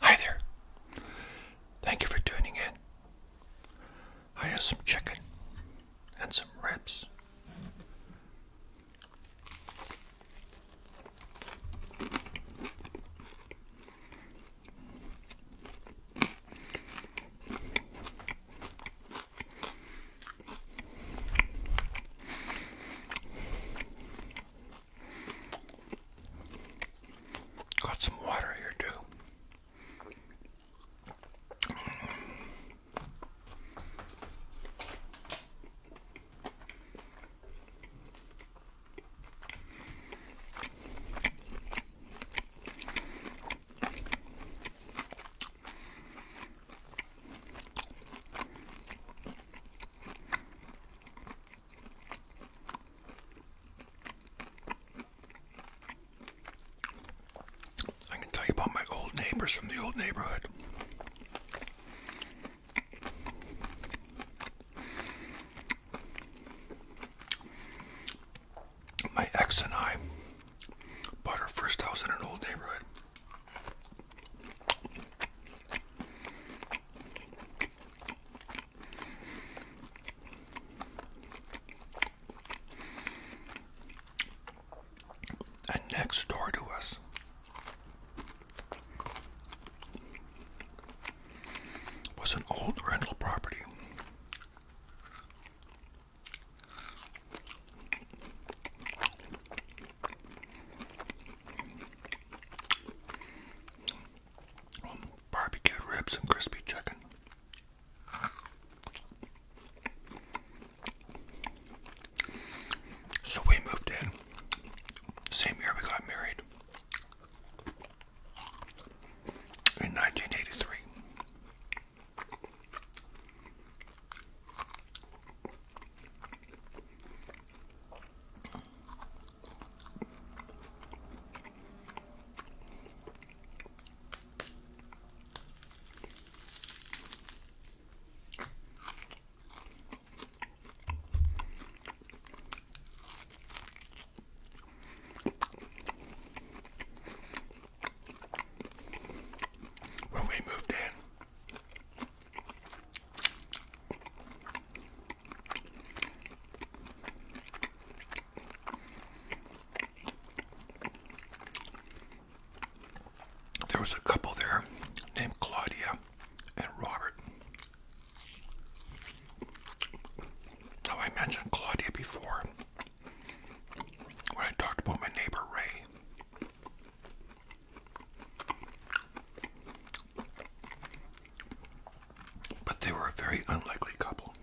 Hi there. Thank you for tuning in. I have some chicken and some ribs. Got some water here, too. I can tell you about my old neighbors from the old neighborhood. My ex and I bought our first house in an old neighborhood. And next door to us was an old rental property. Barbecued ribs and crispy chicken. So we moved in. Same year we got married in 1983. When we moved in, there was a couple there named Claudia and Robert. How I mentioned Claudia before when I talked about my neighbor Ray. But they were a very unlikely couple.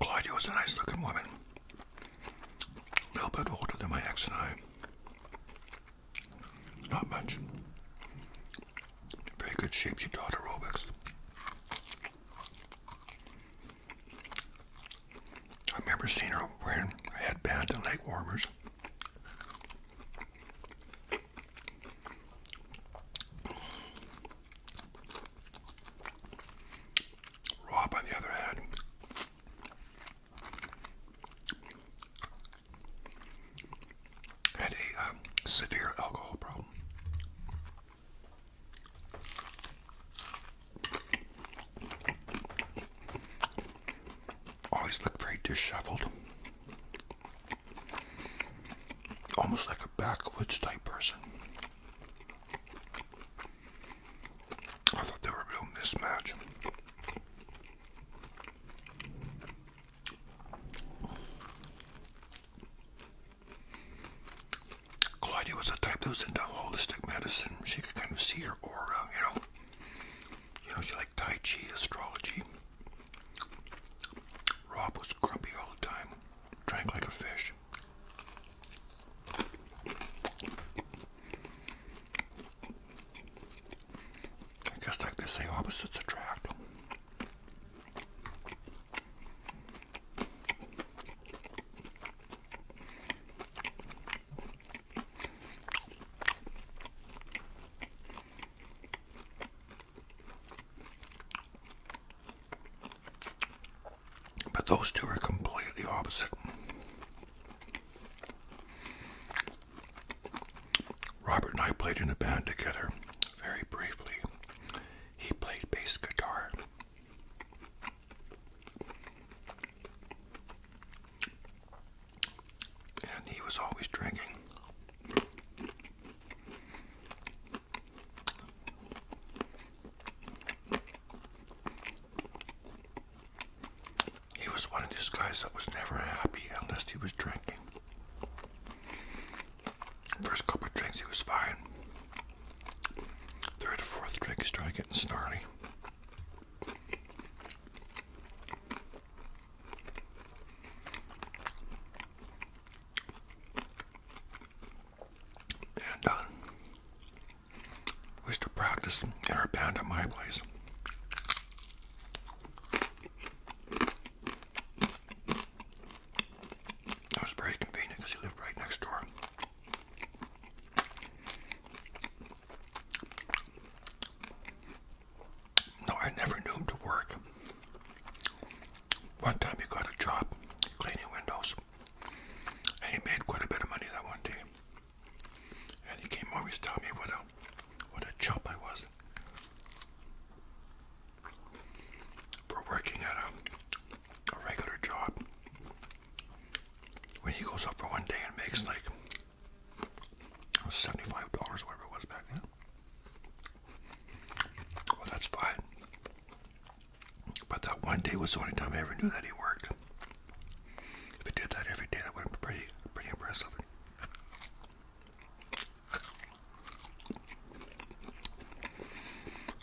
Claudia was a nice looking woman, a little bit older than my ex and I. Not much. Very good shape. She taught aerobics. I remember seeing her wearing a headband and leg warmers. Rob, on the other hand, had a um, severe alcohol problem. Always looked very disheveled. Almost like a backwoods type person. I thought they were a real mismatch. Claudia was the type that was into holistic medicine. She could kind of see her aura, you know. You know, she liked Tai Chi, astrology. Rob was grumpy all the time, drank like a fish. I guess like they say, opposites attract. But those two are completely opposite. Robert and I played in a band together very briefly. He played bass guitar. And he was always drinking. He was one of these guys that was never happy unless he was drinking. First couple drinks, he was fine. Third fourth drink, he getting snarly. And uh, we used to practice in our band at my place. It was very convenient because he lived right next door. No, I never knew him to work. One time he got a job cleaning windows, and he made quite a bit of money that one day. And he came over and told me what a what a chump I was for working at a, a regular job. When he goes up for one day and makes like seventy-five dollars, whatever it was back then. Well, that's fine. But that one day was the only time I ever knew that he worked. If you did that every day, that would be pretty, pretty impressive.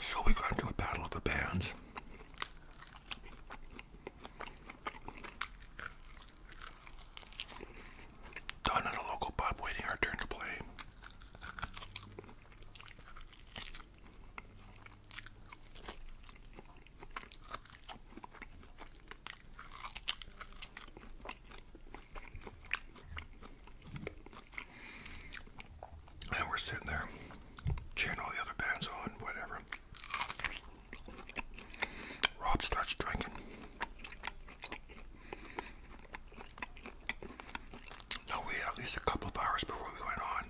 So we got into a battle of the bands. Done at a local pub, waiting our turn to play. And we're sitting there cheering all the other bands on, whatever. Rob starts drinking. No, we had at least a couple of hours before we went on.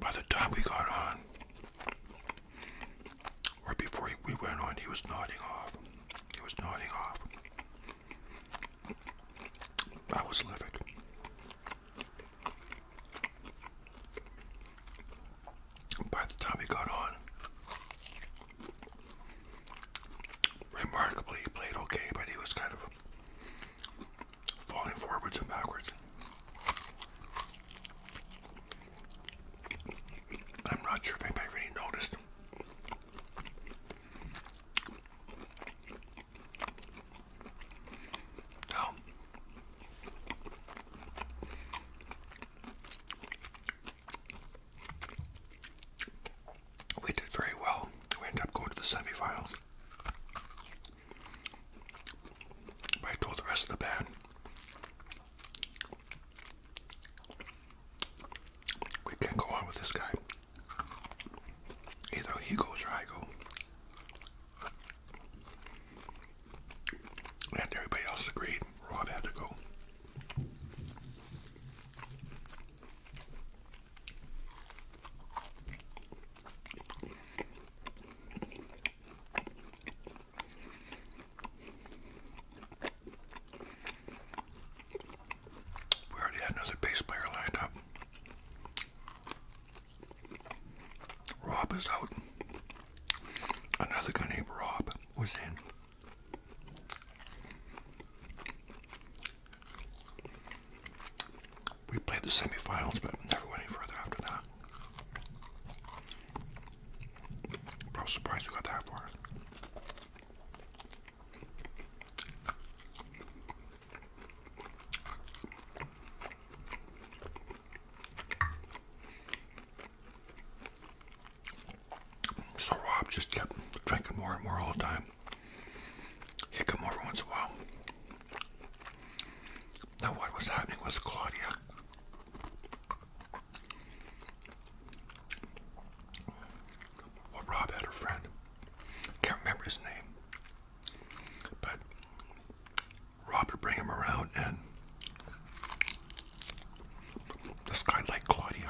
By the time we got on, or before we went on, he was nodding off. He was nodding off. I was livid. By the time we got on, Remarkably, he played okay, but he was kind of falling forwards and backwards. I'm not sure if anybody really noticed. Now, we did very well. We ended up going to the semifinals. I told the rest of the band, we can't go on with this guy. Either he goes or I go. And everybody else agreed. Rob had to go. We already had another bass player lined up. Rob is out. Another guy named Rob was in. We played the semifinals, but never went any further after that. I was surprised we got that far. So Rob just kept drinking more and more all the time. He'd come over once in a while. Now what was happening was Claudia well, Rob had a friend. Can't remember his name. But Rob would bring him around and this guy liked Claudia.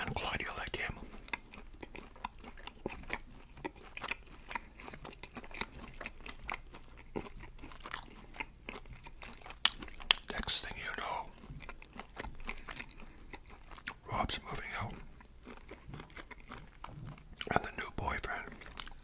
And Claudia like him. Next thing you know, Rob's moving out, and the new boyfriend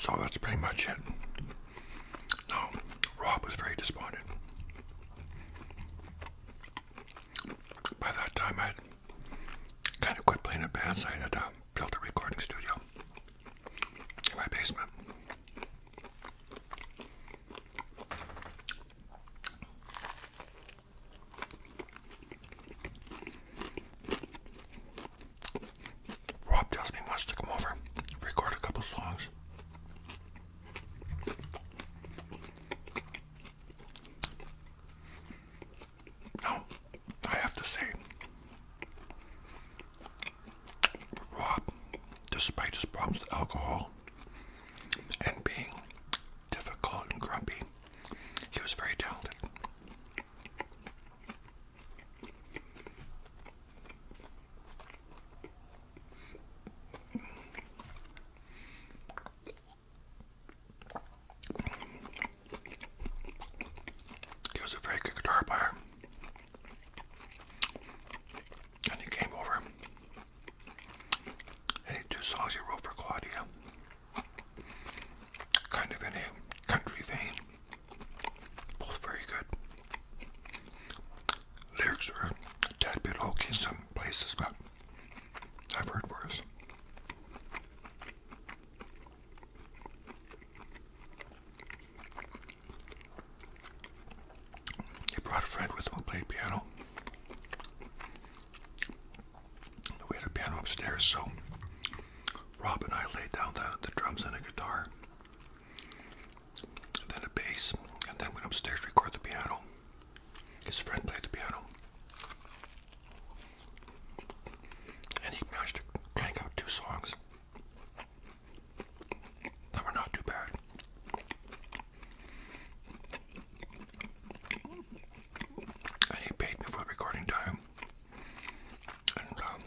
So that's pretty much it. No, Rob was very despondent. By that time, I kind of quit playing in bands. I had uh, built a recording studio in my basement. Rob tells me he come over, record a couple songs. Now, I have to say, Rob, despite his problems with alcohol and being difficult and grumpy, he was very talented. He was a very good guitar player. And he came over and two songs he wrote for Claudia kind of in a country vein. Both very good. Lyrics are a tad bit hokey in some places, but I've heard worse. He brought a with who played piano. We had a piano upstairs, so Rob and I laid down the, drums and a guitar, then a bass, and then went upstairs to record the piano. His friend played the piano. And he managed to crank out two songs that were not too bad. And he paid me for the recording time and um,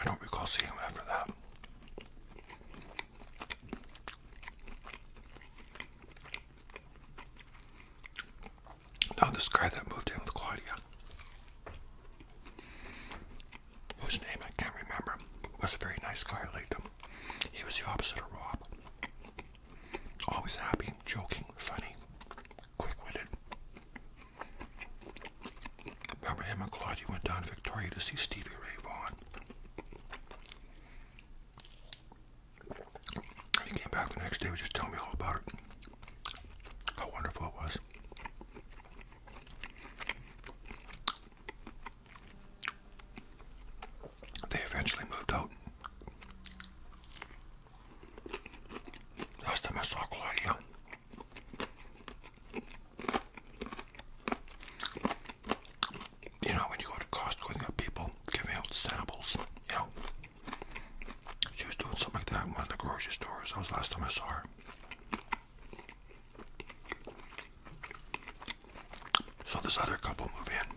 I don't recall seeing him after that. Now this guy that moved in with Claudia, whose name I can't remember, was a very nice guy. He was the opposite of Rob. Always happy, joking, funny, quick-witted, Remember him and Claudia went down to Victoria to see Stevie Ray Vaughan. he came back the next day, was just telling me all about it. How wonderful it was. They eventually moved out. Last time I saw Claudia, you know, when you go to Costco and you got people giving out you know. She was doing something like that in one of the grocery stores. That was the last time I saw her. So this other couple move in.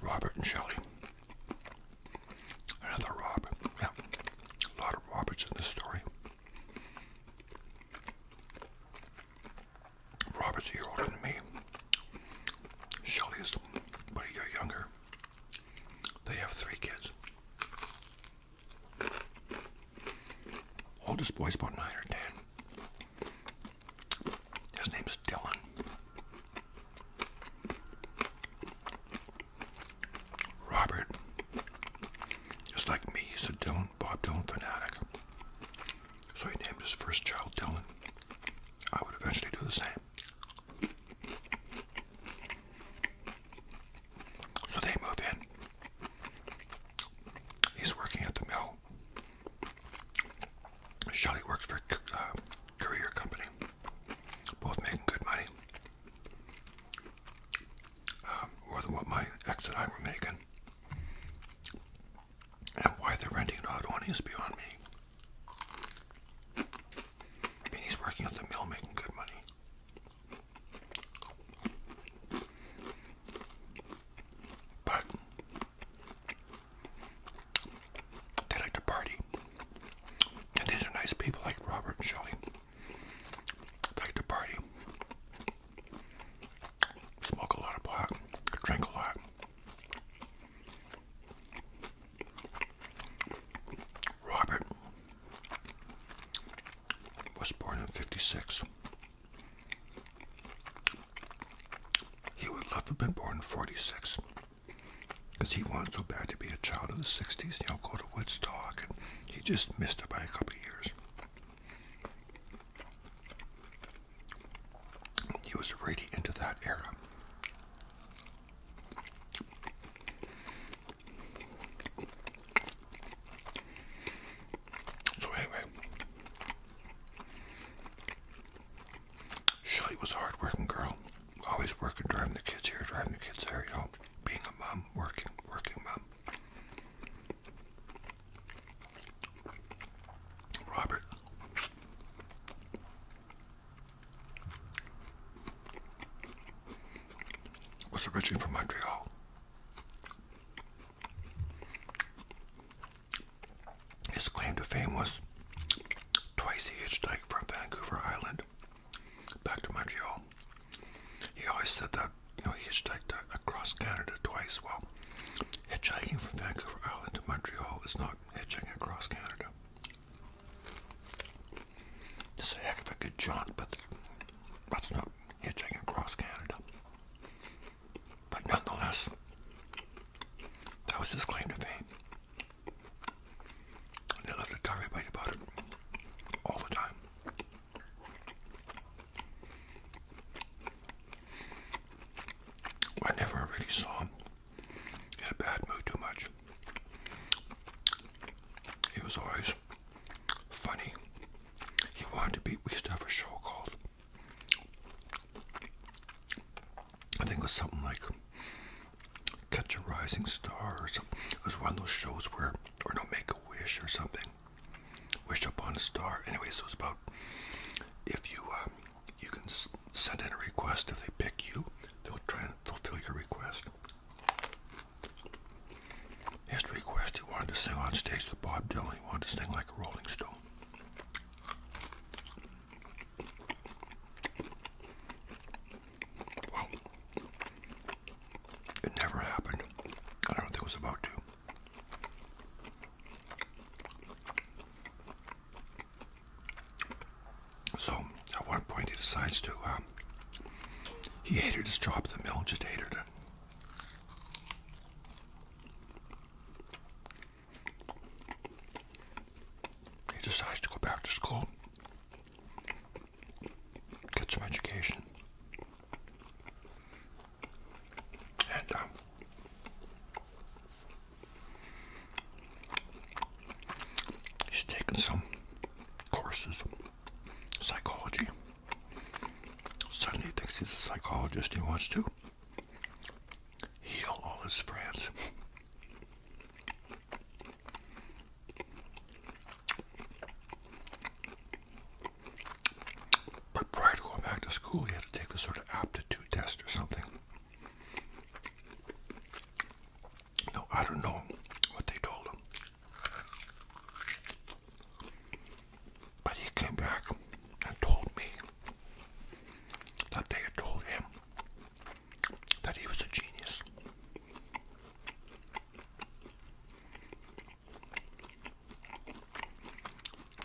Robert and Shelley. Another Robert. Yeah. A lot of Roberts in this story. Robert's a year older than me. Shelley is but a year younger. They have three kids. Oldest boy's about nine or ten. His name's Dylan. Robert, just like me, he's a Dylan, Bob Dylan fanatic. So he named his first child Dylan. I would eventually do the same. So they move in. He's working at the mill. Shelly works for a uh, courier company both making good money, more um, than what my ex and I were making. And why they're renting it out is beyond me. I mean, he's working at the mill making good money. But they like to party these are nice people like Robert and Shelley. Like to party. Smoke a lot of pot. Drink a lot. Robert was born in 56. He would love to been born in 46. Because he wanted so bad to be a child of the 60s, you know, go to Woodstock, and he just missed it by a couple of years. He was really into that era. So anyway, Shelley was a hard-working girl always working, driving the kids here, driving the kids there, you know, being a mom, working, working mom. Robert. Was originally from Montreal. His claim to fame was twice he hitchhiked from Vancouver Island back to Montreal, he always said that, you know, he hitchhiked across Canada twice. Well, hitchhiking from Vancouver Island to Montreal is not hitchhiking across Canada. It's a heck of a good jaunt, but that's not hitchhiking across Canada. But nonetheless, that was his claim to fame. And I love to talk about it all the time. I never really saw him in a bad mood too much. He was always funny. He wanted to be, we used to have a show called, I think it was something like Catch a Rising Star or something. It was one of those shows where, or no, Make a Wish or something. Wish Upon a Star. Anyway, so it's about if you um, you can send in a request. If they pick you, they'll try and fulfill your request. His request, he wanted to sing on stage with Bob Dylan. He wanted to sing like a Rolling Stone. It never happened. I don't think it was about to. So at one point he decides to, uh, he hated to job at the mill, just hated it. He decides to go back to school get some education. And um, he's taking some courses, psychology. Suddenly he thinks he's a psychologist. He wants to heal all his friends. But prior to going back to school, you had to take this sort of aptitude test or something. No, I don't know what they told him. But he came back and told me that they had told him that he was a genius.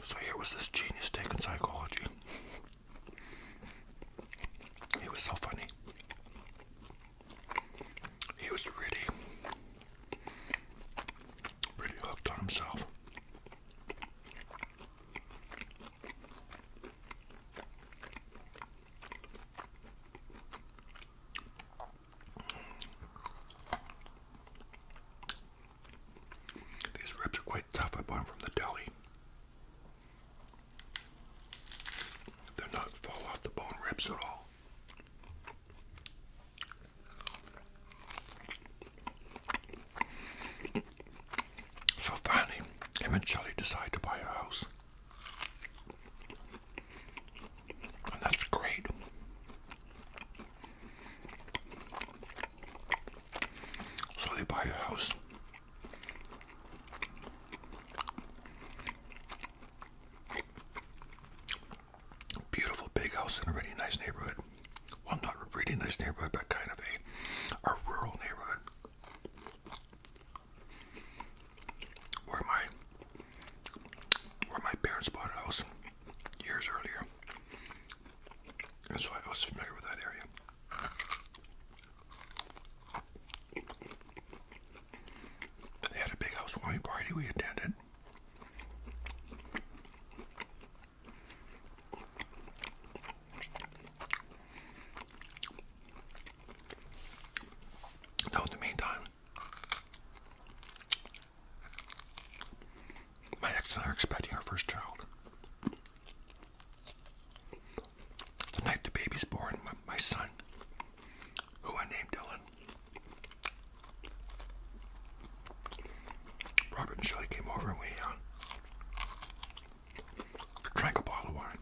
So here was this genius taking psychology. He was so funny. He was really, really hooked on himself. These ribs are quite tough. I bought them from the deli. They're not fall off the bone ribs at all. So finally, him and Shelly decide to buy a house that's great. So they buy a house. Beautiful big house in a really nice neighborhood. Well, not really nice neighborhood, but kind of a, a rural neighborhood where my where my parents bought a house years earlier. That's why I was familiar with that area. They had a big house wine party we attended. So in the meantime, my ex and I are expecting our first child. The night the baby's born, my, son, who I named Dylan, Robert and Shirley came over and we uh, drank a bottle of wine.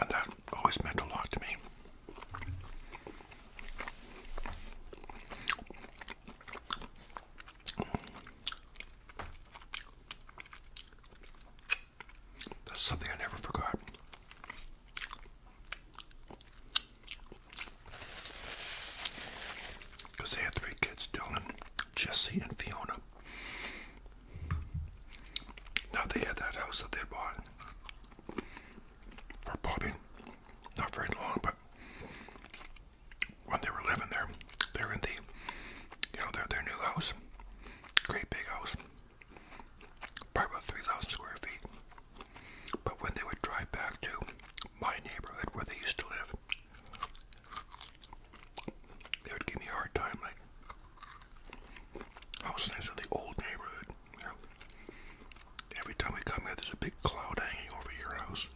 And that always meant a lot to me. That's something I never forgot. Because they had three kids, Dylan, Jesse and Fiona. Now they had that house that they bought for Bobby, not very long, but when they were living there, they're in the, you know, their their new house, great big house, probably three thousand square feet. But when they would drive back to my neighborhood where they used to live, they would give me a hard time, like, I was nice the old neighborhood. Every time we come here, there's a big cloud hanging over your house.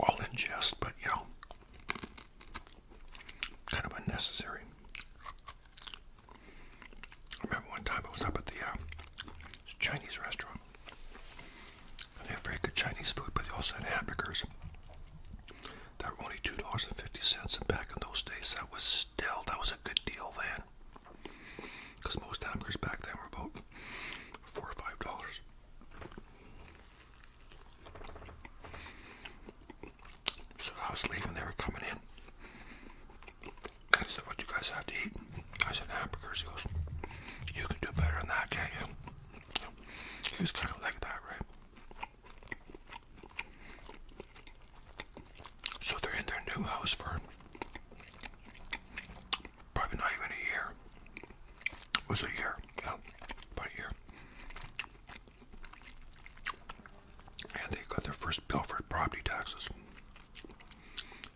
All in jest, but you know, kind of unnecessary. I remember one time I was up at the uh, Chinese restaurant. They have very good Chinese food, but they also had hamburgers that were only two dollars and fifty cents. And back in those days, that was still that was a good deal then, because most hamburgers back then were about four or five dollars. So I was leaving, they were coming in. I said, what you guys have to eat? I said, hamburgers. He goes, you can do better than that, can't you? He was kind of like that, right? So they're in their new house for probably not even a year. It a year, yeah, about a year. And they got their first bill property taxes.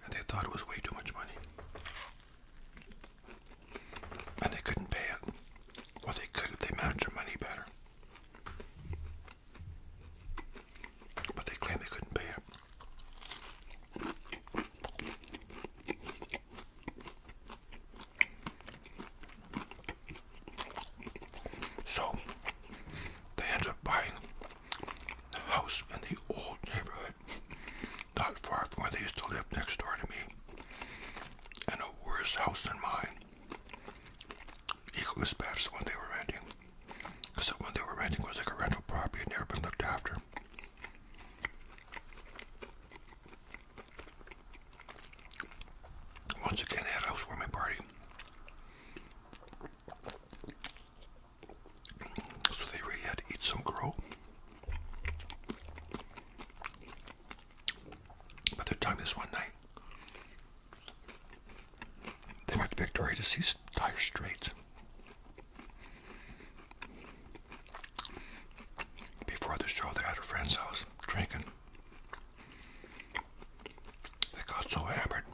And they thought it was way too much money. And they couldn't pay it. Well, they could if they managed their money better. But they claimed they couldn't pay it. So they end up buying a house in the old neighborhood not far from where they used to live next door to me, and a worse house than mine. Equally as bad they were renting, because the they were renting was like a rental property and never been looked after. Once again, they housewarming party. So they really had to eat some crow. But their time this one night. They went to Victoria to see Dire Straits. Before the show, they're at a friend's house drinking. They got so hammered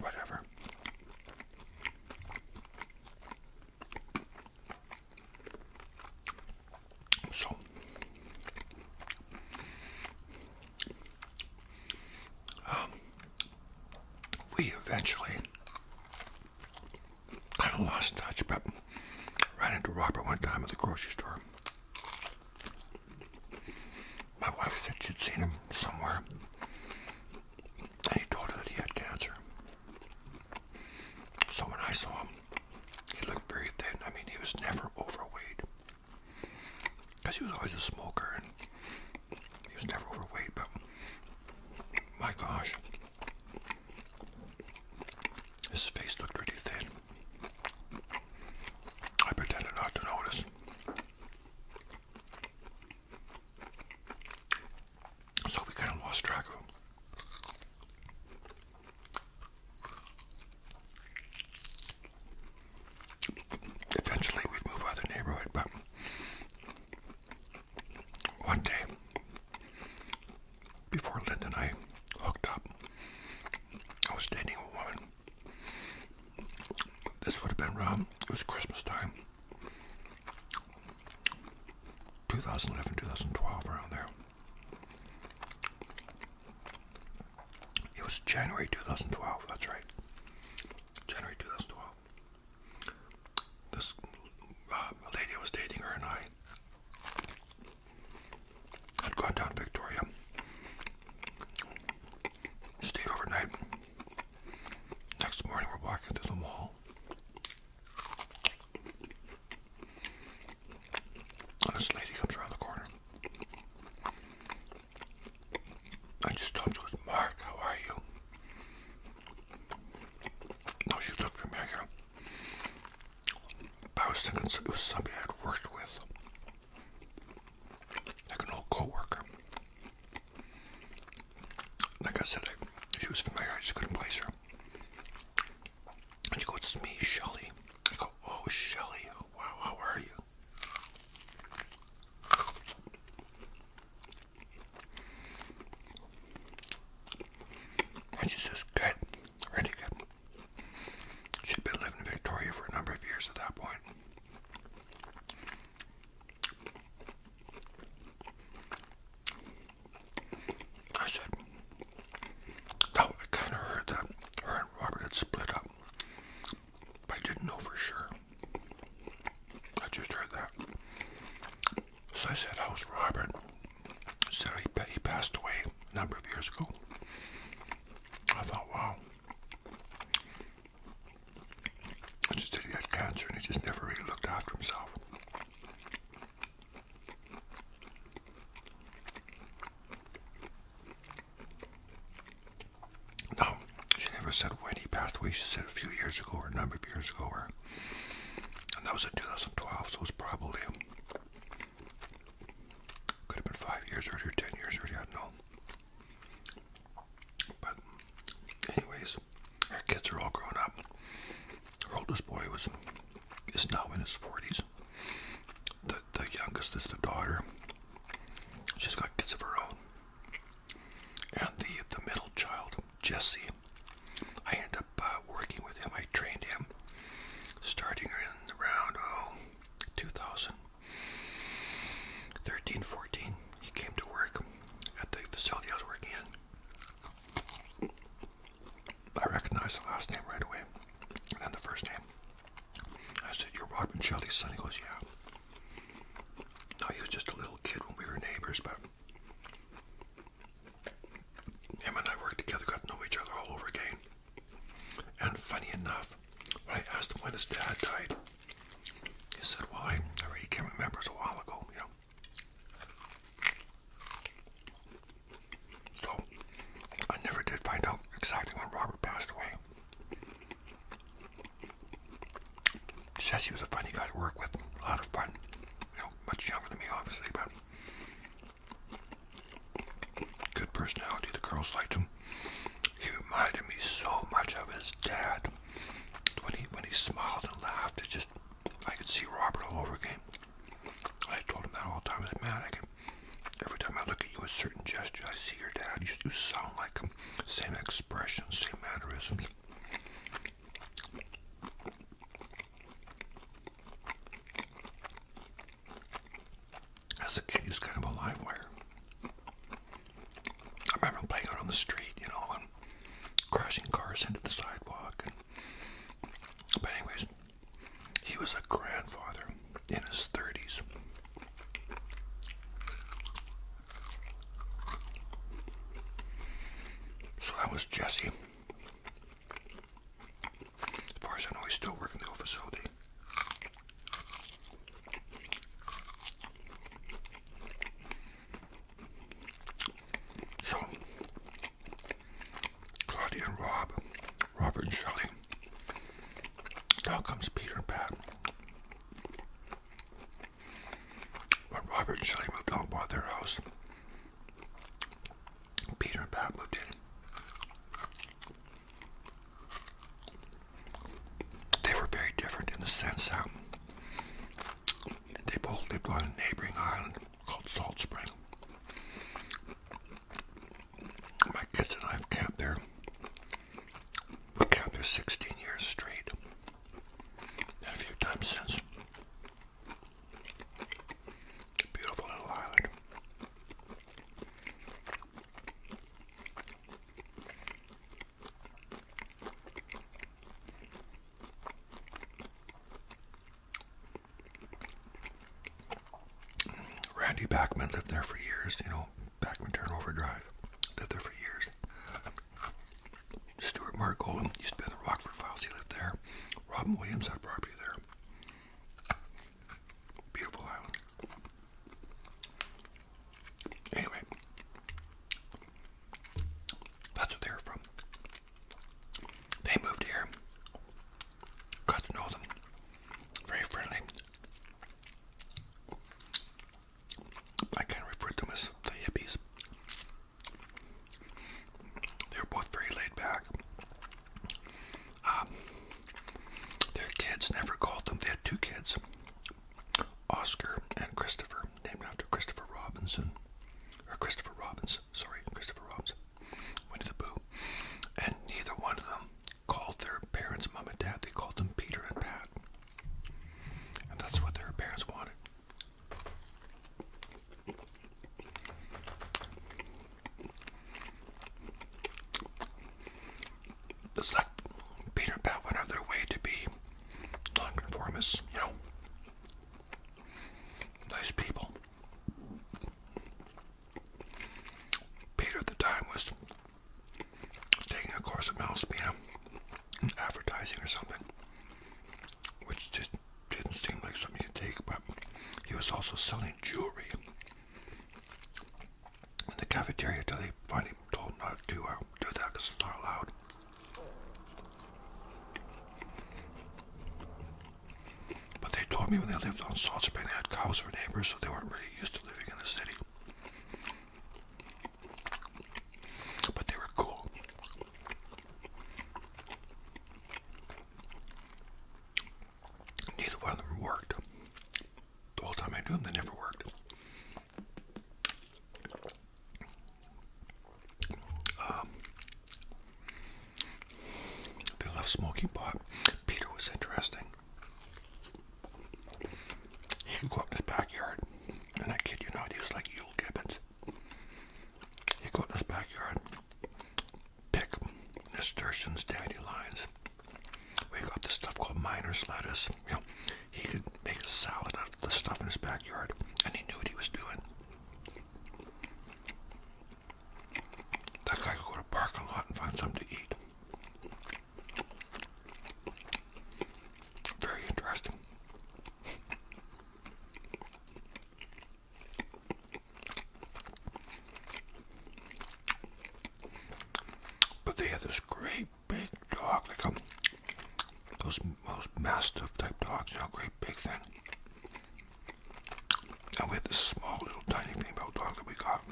Whatever. So um, we eventually kind of lost touch, but ran into Robert one time at the grocery store. My wife said she'd seen him somewhere and he told her that he had cancer. So when I saw him, he looked very thin. I mean, he was never overweight. Because he was always a smoker and he was never overweight, but my gosh, his face looked pretty thin. I pretended not to notice. So we kind of lost track of him. Eventually, we'd out of the neighborhood, but one day, before Linda and I hooked up, I was dating a woman this would have been around, um, it was Christmas time. 2011, 2012, around there. It was January 2012, that's right. January 2012. This uh, lady I was dating, her and I had gone down to Victoria, stayed overnight. Next morning, we're walking through the mall. And this lady comes around the corner. I just stopped with Mark, how are you? No, she looked familiar. I was thinking it was somebody I had worked with. Like an old co like I said, she was familiar. I just couldn't place her. And she "It's me, Shelly." I go, "Oh, Shelly! Wow, how are you?" And she says, "Good, really good." She'd been living in Victoria for a number of years at that point. I said, oh, I kind of heard that her and Robert had split up. But I didn't know for sure. I just heard that. So I said, how's Robert? I said, he, he passed away a number of years ago. I thought, wow. I just said he had cancer and he just never really looked after himself. No, she never said when he passed away. She said a few years ago or a number of years ago. Or, and that was in 2012, so it's probably, could have been five years earlier, ten years earlier, I but, anyways, our kids are all grown up. Our oldest boy was is now in his 40s. The, the youngest is the daughter. She's got kids of her own. And the, the middle child, Jesse, I ended up uh, working with him. I trained him starting in around oh, 2013, He came to work at the facility I was working in. I recognized the last name right away, and then the first name. I said, "You're Robin Shelley's son." He goes, "Yeah." No, he was just a little kid when we were neighbors, but him and I worked together, got to know each other all over again. And funny enough, when I asked him when his dad died, he said, Well, I, I really can't remember, it's a while ago, you know. So, I never did find out exactly when Robert passed away. Says he was a funny guy to work with, a lot of fun. You know, much younger than me, obviously, but good personality. The girls liked him. He reminded me so much of his dad when he when he smiled and laughed, it just I could see Robert all over again. I told him that all the time. I said, "Man, I can." Every time I look at you with certain gesture, I see your dad. You, you sound like him. Same expression, same mannerisms. As a kid, he's kind of a live wire. I remember playing it on the street, you know, and crashing cars into the sidewalk. but anyways, he was a grandfather in his 30s. So that was Jesse. As far as I know, he's still working the old facility. So, Claudia and Rob, Robert and Shelley. Now comes Peter and Pat. When Robert and Shelley moved on by their house, Peter and Pat moved in they were very different in the sense that they both lived on a neighboring island called Salt Spring. My kids and I have camped there. We camped there 16 years straight, and a few times since. Beautiful little island. Randy Bachman lived there for years, you know, Bachman Turnover Drive. Lived there for years. Stuart Margolin used to be in the Rockford Files, he lived there. Robin Williams had property there. Beautiful island. Anyway, that's what they are from. They moved here, got to know them, very friendly. I kind of refer to them as the hippies. They were both very laid back. Um, their kids never called them. They had two kids, Oscar and Christopher named after Christopher Robinson, or Christopher Robinson. sorry, Christopher Robinson. Winnie the Pooh, and neither one of them called their parents mom and dad. They called them Peter and Pat, and that's what their parents wanted. It's like Peter and Pat went their way to be nonconformists, you know, nice people. Peter at the time was taking a course at Malaspina in advertising or something, which did, didn't seem like something to take, but he was also selling jewelry in the cafeteria till he finally told not to uh, do that because it's not allowed. But they told me when they lived on Salt Spring, they had cows for neighbors, so they weren't really used to living in the city. But they were cool. Neither one of them worked. The whole time I knew them, they never worked. Um, they love smoking pot. Peter was interesting. He could go out in his backyard, and I kid you not, he was like Yule Gibbons. He'd go out in his backyard, pick nasturtiums, dandelions. We got this stuff called miner's lettuce he could make a salad out of the stuff in his backyard, and he knew what he was doing. That guy could go to a parking lot and find something to eat. Very interesting. But they had great big dog, like a, those, those mastiff type dogs, you know, great big thing. And we had this small little tiny female dog that we got.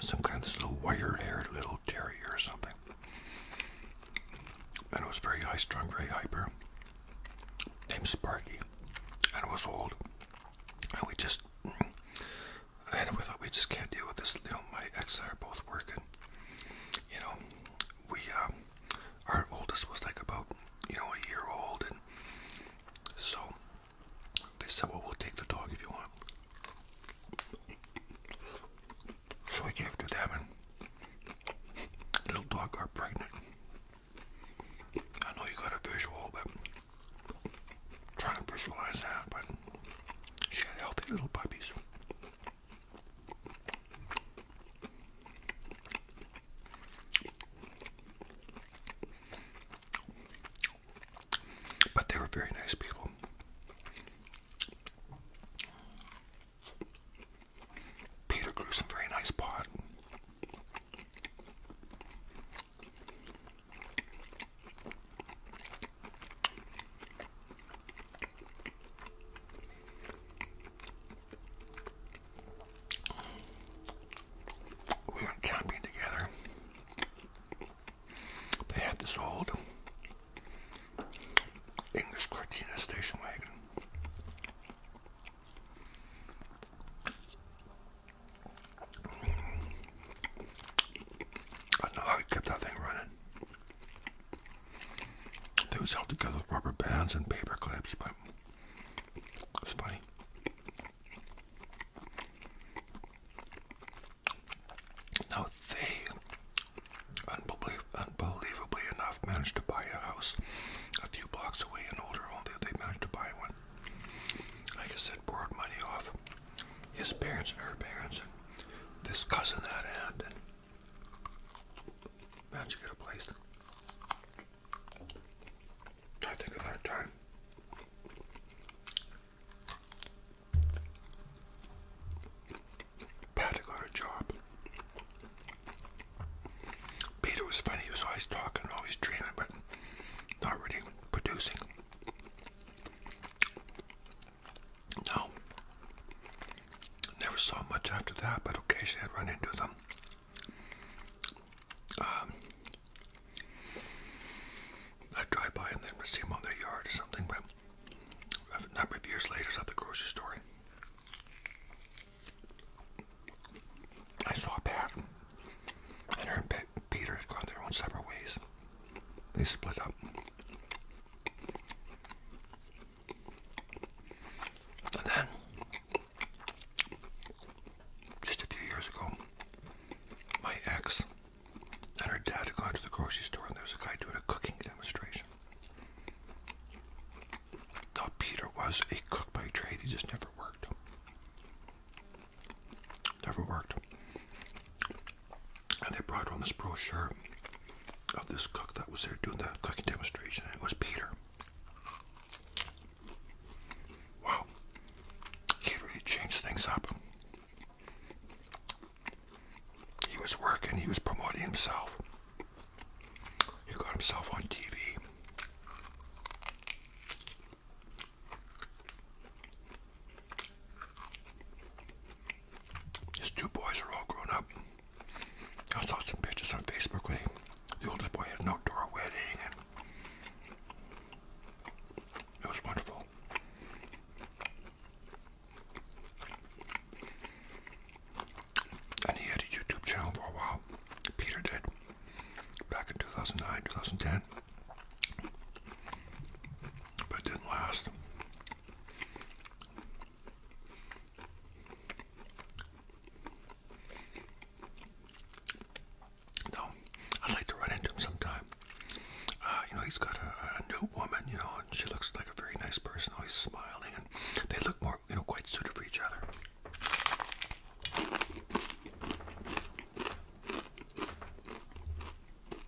Some kind of this little wire-haired little terrier or something. And it was very high-strung, very hyper. Named Sparky. And it was old. And we just and we're we just can't deal with this. You know, my ex and I are both working. You know, we, um, our oldest was like about, you know, a year old, and so they said, well, we'll take the dog if you want. So I gave to them, and little dog got pregnant. I know you got a visual, but I'm trying to visualize that, but she had healthy little puppies. But they were very nice people. Peter grew some very nice pot. We went camping together. They had this old English Cortina station wagon. I know how he kept that thing running. It was held together with rubber bands and paper clips, but it's funny. Now they, unbelievably enough, managed to buy a house a few blocks away, an older home. they managed to buy one. Like I said, borrowed money off his parents and her parents and this cousin that aunt and how'd get a place? I think another time. Pat got a job. Peter was funny, he was always talking, always dreaming, but not really producing. No. Never saw much after that, but occasionally I'd run into them. Um, I'd drive by and then see them on their yard or something, but a number of years later, I at the grocery store. I saw Pat and her and Peter had gone their own separate ways. They split up. And then, just a few years ago, my ex and her dad had gone to the grocery store, and there was a guy doing a cooking demonstration. Now, Peter was a cook by trade, he just never worked never worked. And they brought on this brochure of this cook that was there doing the cooking demonstration, it was Peter. Wow, he really changed things up. He was working, he was promoting himself. He got himself on TV. His two boys are all grown up. I saw some pictures on Facebook where they, the oldest boy had an outdoor wedding, and it was wonderful. And he had a YouTube channel for a while. Peter did back in 2009, 2010, but didn't last. No, I'd like to run into him sometime. Uh, you know, he's got a, a new woman, you know, and she looks like a very nice person, always smiling, and they look more, you know, quite suited for each other.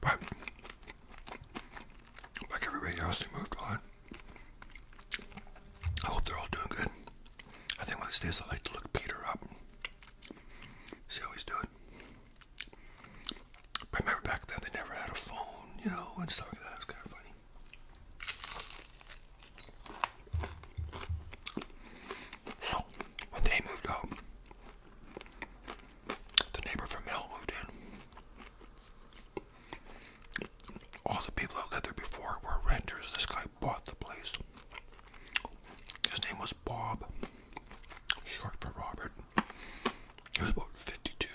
But like everybody else who moved on, I hope they're all doing good. I think one of these days I like to look Peter up, see how he's doing. I remember back then they never had a phone, you know, and stuff like that. It kind of funny. When they moved out, the neighbor from hell moved in. All the people that lived there before were renters. This guy bought the place. His name was Bob, short for Robert. He was about 52,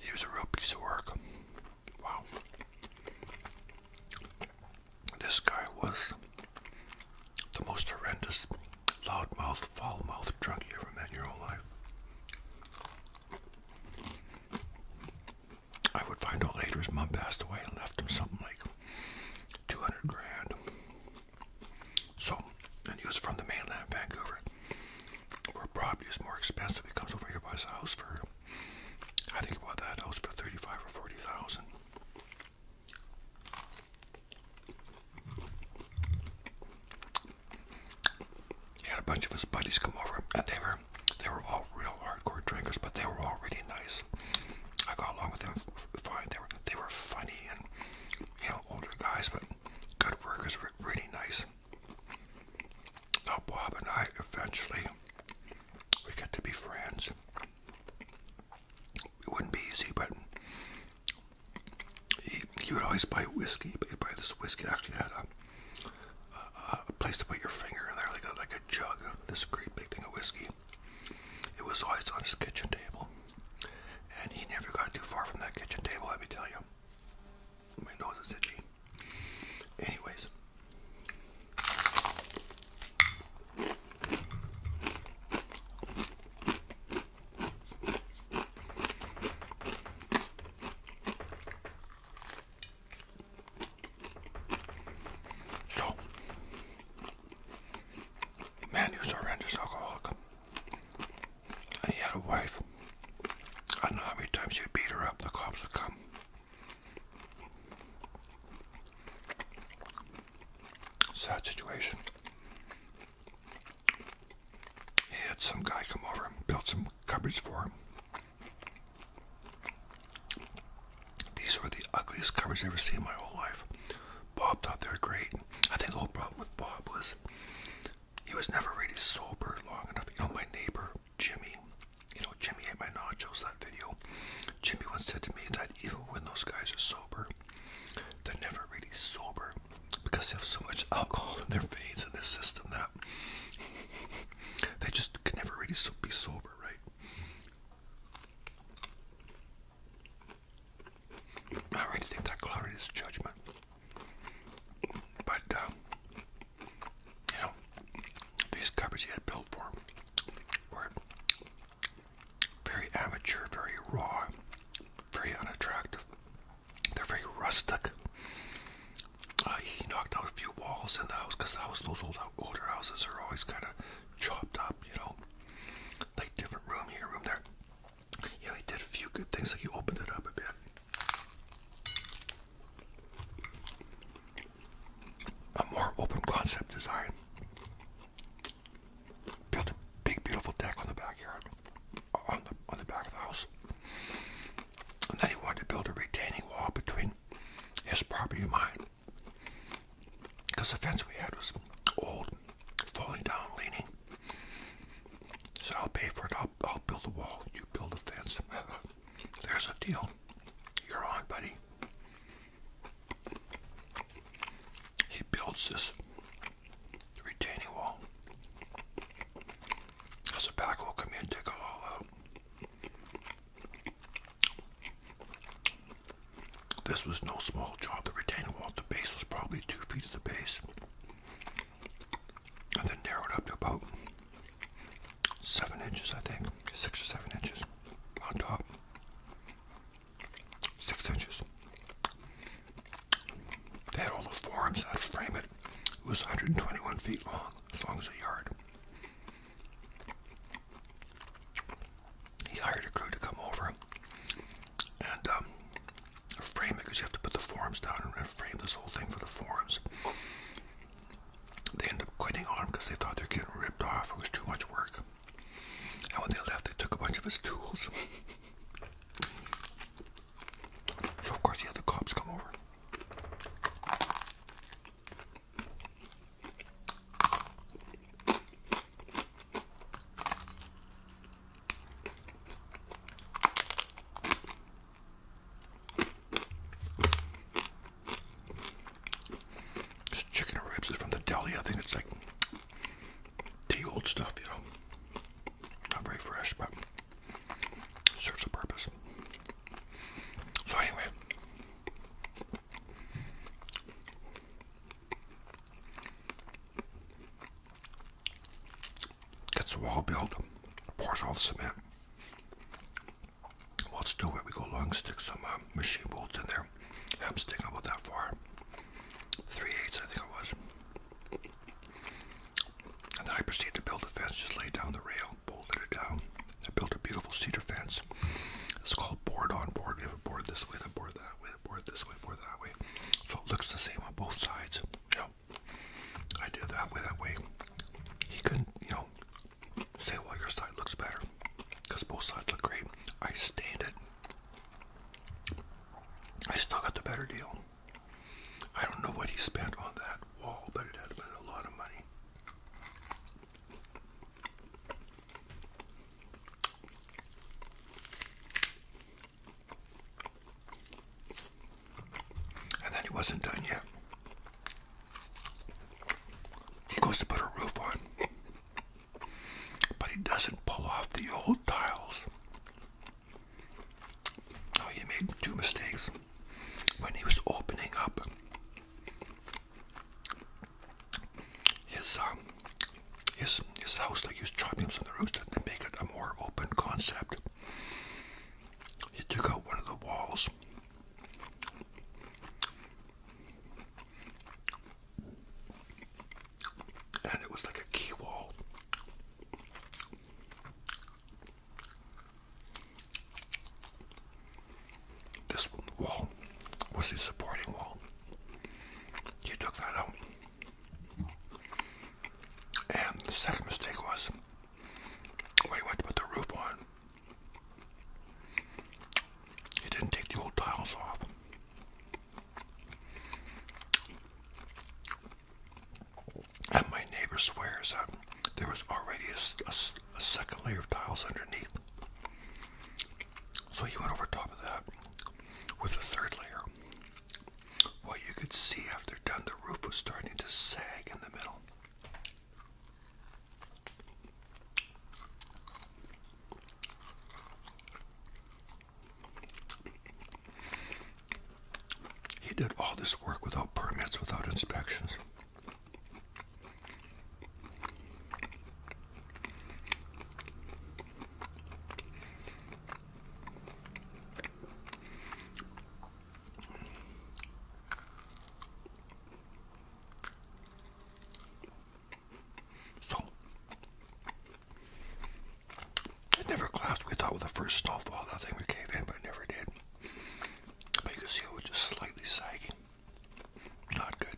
He was a real piece of work. Wow. This guy was the most horrendous loudmouth, foul mouthed drunk you ever met in your whole life. I would find out later his mom passed away and left him something like 200 grand. So, and he was from the mainland, Vancouver, where property is more expensive. He comes over here, buys a house for, I think he bought that house for 35 or 40,000. He had a bunch of his buddies come over, and they were they were all real hardcore drinkers, but they were all really nice. I got along with them fine. They were they were funny and you know older guys, but good workers, were really nice. Now Bob and I eventually we got to be friends. It wouldn't be easy, but he, would always buy whiskey. he'd buy this whiskey. It actually had a, place to put your finger in there, like a, like a jug. This great big thing of whiskey. It was always on his kitchen table, and he never got too far from that kitchen table. Let me tell you. My nose is itchy. Anyways. So, the man was a horrendous alcoholic, and he had a wife. I don't know how many times you beat her up. The cops would come. Sad situation. He had some guy come over and built some cupboards for him. These were the ugliest cupboards i ever seen in my whole life. Bob thought they were great. I think the whole problem with Bob was he was never really sober long enough. You know, my neighbor, Jimmy, you know, Jimmy ate my nachos that video. Jimmy once said to me that even when those guys are sober, they're never really sober because they have so much alcohol in their veins and their system that they just can never really be sober, right? I already think that clarity is judgment, but uh, you know, these covers he had built for him were very amateur, very raw, very unattractive. They're very rustic. Uh, he knocked out a few walls in the house because the house, those old, older houses are always kind of chopped up, you know, like different room here, room there. Yeah, he did a few good things, like he opened it up a bit a more open concept design. Built a big, beautiful deck on the backyard, on the on the back of the house. And then he wanted to build a retaining wall between his property and mine, because the fence we had was old, falling down, leaning. So I'll pay for it. I'll, I'll build a wall. You build a fence. There's a deal. You're on, buddy. He builds this retaining wall. As a pack will come in and take it all out. This was no small job. The retaining wall the base was probably two feet at the base. And then narrowed up to about seven inches, I think, six or seven inches on top, six inches. They had all the forms to frame it. It was 121 feet long, as long as a yard. He hired a crew to come over and um, frame it because you have to put the forms down and frame this whole thing for the forms. They end up quitting on him because they thought they were getting ripped off. It was too much work. And when they left, they took a bunch of his tools. so, of course, the cops come over. This chicken and ribs is from the deli. I think it's like the old stuff, you know. Not very fresh, but serves a purpose. So anyway. Gets a wall built, pours all the cement, well, still it? we go long, stick some uh, machine bolts in there. I'm sticking about that far. 3 eighths, I think it was. And then I proceeded to build a fence, just laid down the rail, bolted it down. I built a beautiful cedar fence. It's called board on board. We have a board this way, a board that way, a board this way, a board that way. So it looks the same on both sides. You I did that way, that way. He couldn't, you know, say, well, your side looks better because both sides look great. I stand it. I still got the better deal. I don't know what he spent on that wall, but it had been a lot of money. And then he wasn't done yet. He goes to put a roof on, but he doesn't pull off the old tiles. Oh, he made two mistakes when he was opening up his um, his his house. Like he was chopping up some of the roof to make it a more open concept. He took out one of the walls. And it was like a key wall. This wall was the supporting wall. You took that out. And the second mistake was when he went to put the roof on, he didn't take the old tiles off. And my neighbor swears that there was already a, second layer of tiles underneath. So he went over top of that with a third layer. What you could see after done, the roof was starting to sag in the middle. He did all this work without permits, without inspections. So, it never collapsed. We thought with the first snowfall that thing would cave in, but it never did. you can see it was just slightly sagging. Not good.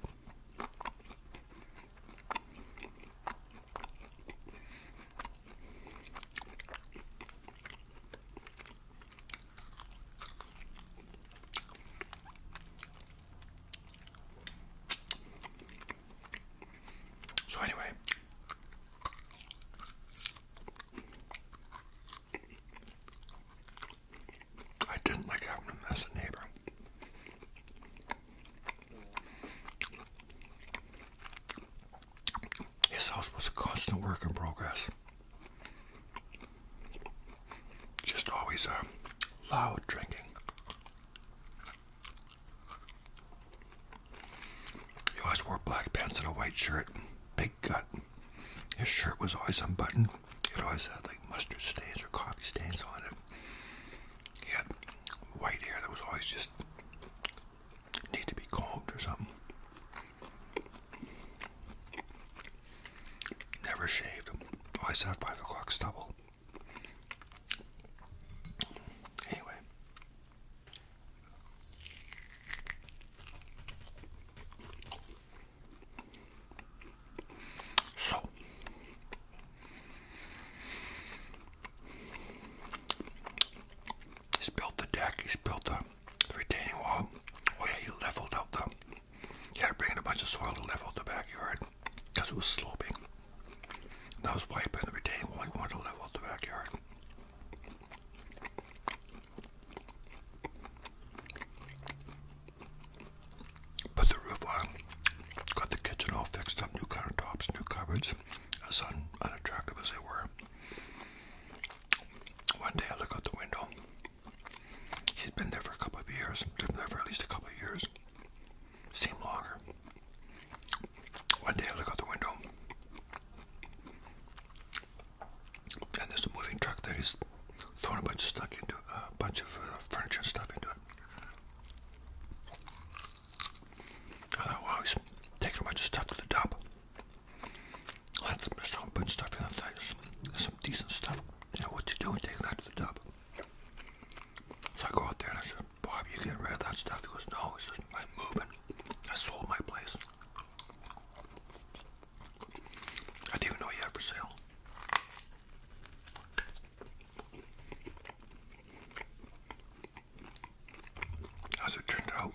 So anyway, I didn't like having him as a neighbor. His house was a constant work in progress. Just always a uh, loud drinking. He always wore black pants and a white shirt, big gut. His shirt was always unbuttoned. It always had like mustard stains or coffee stains on it. He had white hair that was always just need to be combed or something. Never shaved. Always have five o'clock stubble. Anyway. So he's built the deck, he's built the retaining wall. Oh yeah, he leveled out the you had to bring in a bunch of soil to level the backyard because it was sloping. And that was wiping the retaining wall. You wanted to level the backyard. Put the roof on. Got the kitchen all fixed up. New countertops, new cupboards. As unattractive as they were. One day I look out the window he has been there for a couple of years. Been there for at least a couple of years. Seemed longer. One day I look out the window, and there's a moving truck that is throwing a bunch of stuff into uh, a bunch of uh, furniture and stuff into it. I thought, wow, he's taking a bunch of stuff to the dump. That's some putting stuff in. There's some decent stuff yeah, what you doing? and take that to the tub. So I go out there and I said, Bob, you getting rid of that stuff? He goes, No, it's just I'm moving. I sold my place. I didn't even know you had for sale. As it turned out,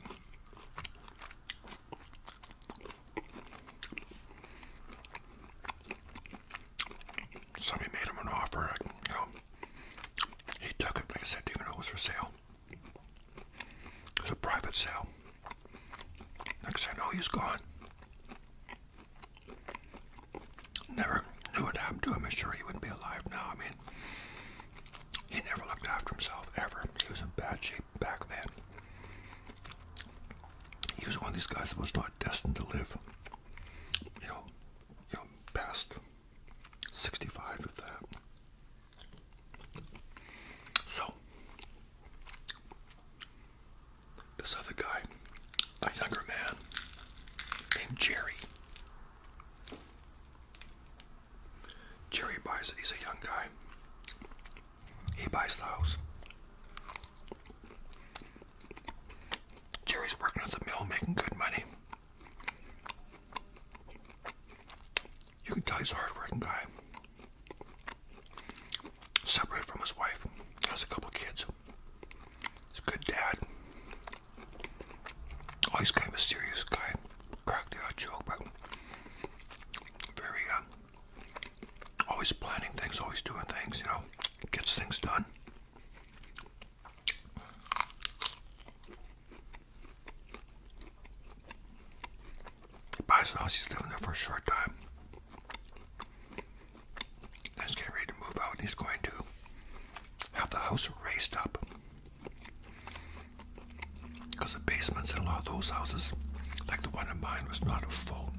Somebody made him an offer, He took it, like I said, even though it was for sale. It was a private sale. Next thing I know, he's gone. Never knew what happened to him. I'm sure he wouldn't be alive now. I mean, he never looked after himself, ever. He was in bad shape back then he was one of these guys that was not destined to live, you know, you know, past 65 of that. So, this other guy, a younger man named Jerry. Jerry buys it, he's a young guy. He buys the house. Jerry's working at the mill, making good money. You can tell he's a hardworking guy. Separate from his wife, has a couple of kids. He's a good dad. Oh, he's kind of a serious guy. Crack Cracked out joke, but very uh, always planning things, always doing things, you know, gets things done. He buys he's living there for a short time. he's getting ready to move out, he's going to have the house raised up. Because the basements in a lot of those houses, like the one in mine, was not a full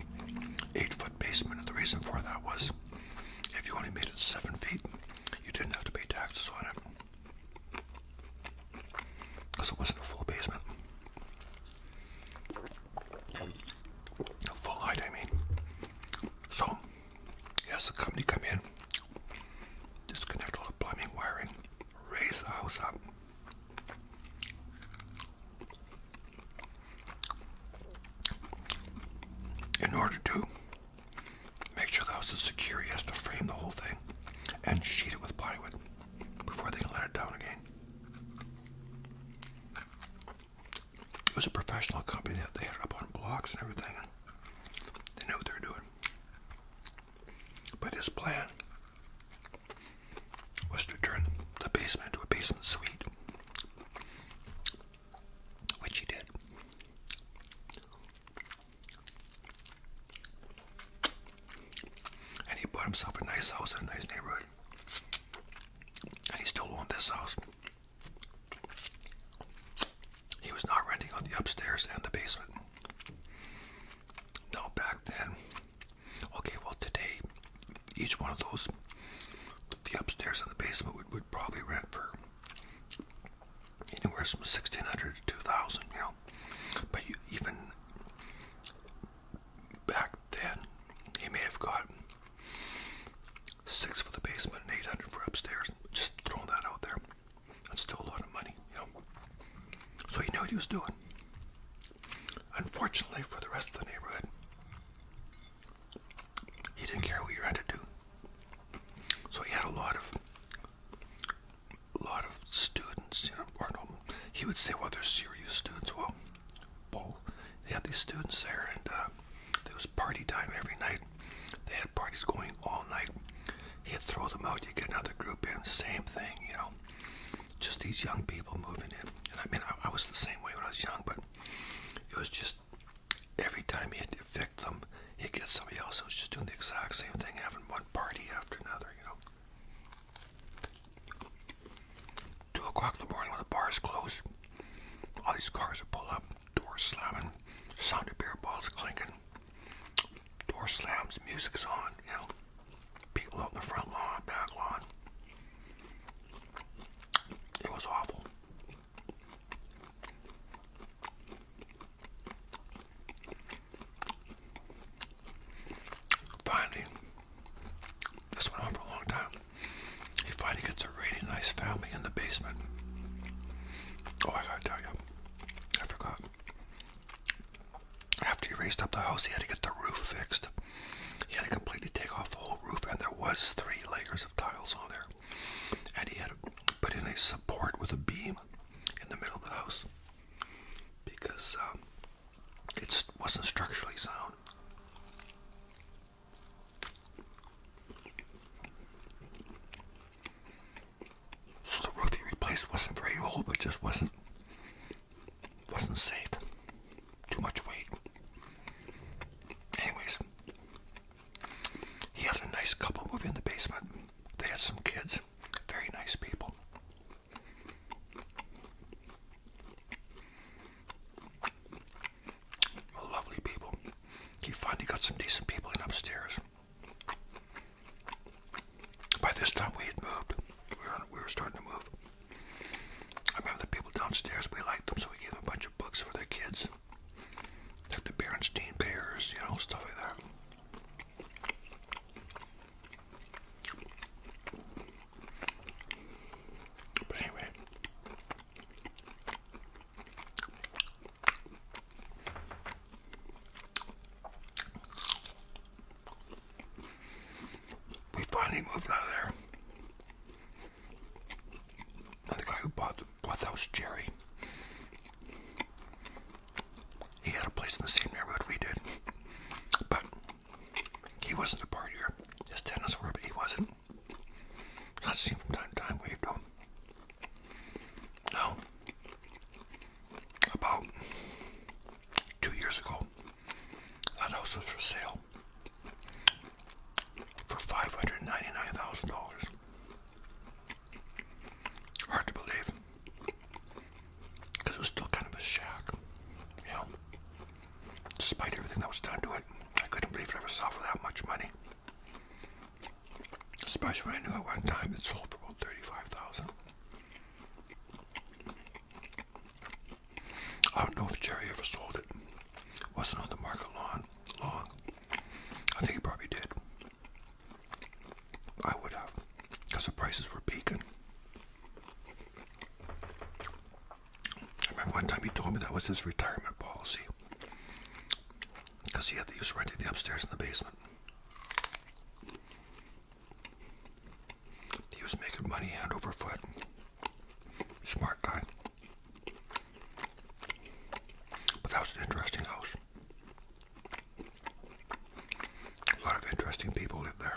eight foot basement. And the reason for that was if you only made it seven feet, you didn't have to pay taxes on it because it wasn't a full basement. A full height, I mean. So, yes, the company come in, disconnect all the plumbing wiring, raise the house up. In order to make sure the house is secure, he has to frame the whole thing and sheet it with plywood before they can let it down again. It was a professional company that they had up on blocks and everything. They knew what they were doing. But his plan was to turn the basement to a basement suite, which he did. And he bought himself a nice house in a nice neighborhood. And he still owned this house. He was not renting on the upstairs and the basement. Now, back then, Okay, well, today, each one of those, with the upstairs and the basement, would, probably rent for anywhere from 1600 to 2000 you know. But even back then, he may have got six for the basement and 800 for upstairs. Just throwing that out there. That's still a lot of money, you know. So he knew what he was doing. Unfortunately for the rest of the neighborhood, he didn't care what you had to do. So he had a lot of a lot of students, you know, or no, he would say, well, they're serious students. Well, well they had these students there, and uh, there was party time every night. They had parties going all night. He'd throw them out, you get another group in, same thing, you know just these young people moving in. And I mean, I, was the same way when I was young, but it was just every time he'd evict them, he'd get somebody else who was just doing the exact same thing, having one party after another, you know. Two o'clock in the morning when the bars close, all these cars would pull up, doors slamming, sound of beer bottles clinking, doors slams, music's on, you know people out in the front lawn, back lawn. It was awful. Finally, this went on for a long time. He finally gets a really nice family in the basement. Oh, I gotta tell you, I forgot after he raised up the house, he had to get the roof fixed. He had to completely take off the whole roof, and there was three layers of tiles on there. And he had to put in a support with a beam in the middle of the house because um, it wasn't structurally sound. So the roof he replaced wasn't very old, but just wasn't wasn't safe. Too much weight. Anyways, he had a nice couple moving in the basement. They had some kids. Very nice people. Lovely people. He finally got some decent people in upstairs. By this time we had moved. We were, starting to move. I remember the people downstairs, we liked them, so we gave them a bunch of books for their kids. Like the Berenstein Bears, you know, stuff like that. But anyway. We finally moved out of there. And the guy who bought bought the house, Jerry, he had a place in the same neighborhood we did, but he wasn't a partier. His tenants were, but he wasn't. i seen from time to time waved to him. Now, about two years ago, that house was for sale for five hundred ninety nine thousand dollars. Hard to believe, because it was still kind of a shack, you know. Despite everything that was done to it, I couldn't believe it ever sold for that much money. Especially when I knew at one time it sold for about thirty five thousand. I don't know if Jerry ever sold it. Wasn't on the market long. Long. I think he probably did. I would have, because the prices were peaking. I remember one time he told me that was his retirement policy, because he had the use renting the upstairs and the basement. He was making money hand over foot. Smart guy. But that was an interesting house. A lot of interesting people lived there.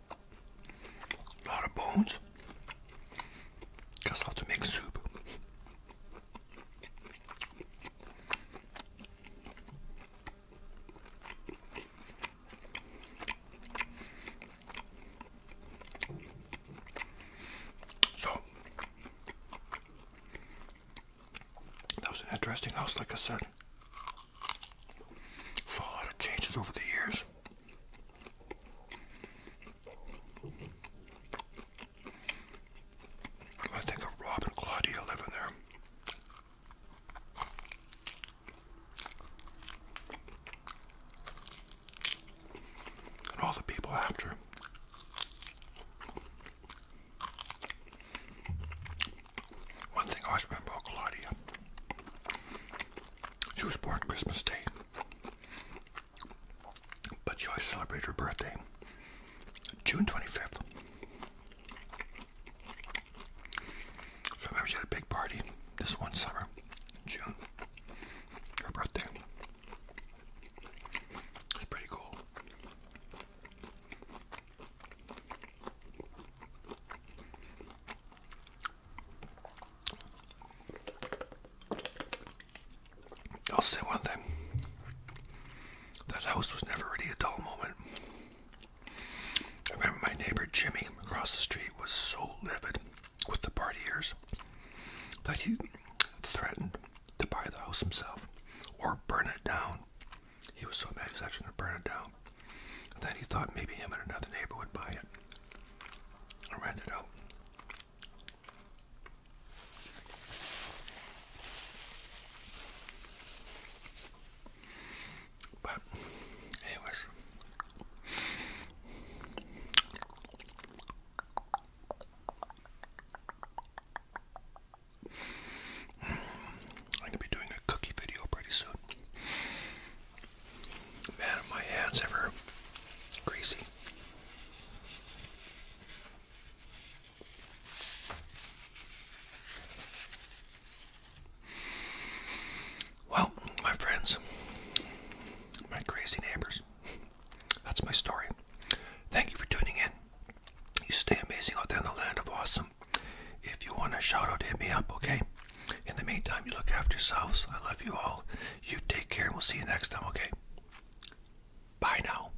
A lot of bones. Guess i have to make soup. So that was an interesting house, like I said. Saw a lot of changes over the years. I think of Rob Claudia living there. And all the people after. One thing I remember Claudia she was born Christmas Day, but she always celebrated her birthday June 25th. remember she had a big party this one summer, June, her birthday. It's pretty cool. I'll say one thing. That house was never really a dull moment. I remember my neighbor Jimmy across the street was so livid with the partiers that he threatened to buy the house himself or burn it down. He was so mad he was actually going to burn it down that he thought maybe him and another neighbor would buy it or rent it out. But, anyways, I'm gonna be doing a cookie video pretty soon. Man, my hands ever greasy. Well, my friends, my crazy neighbors, that's my story. Thank you for tuning in. You stay amazing out there in the land of awesome. If you want a shout out, hit me up, okay? In the meantime, you look after yourselves. I love you all. You take care, and we'll see you next time, okay? Bye now.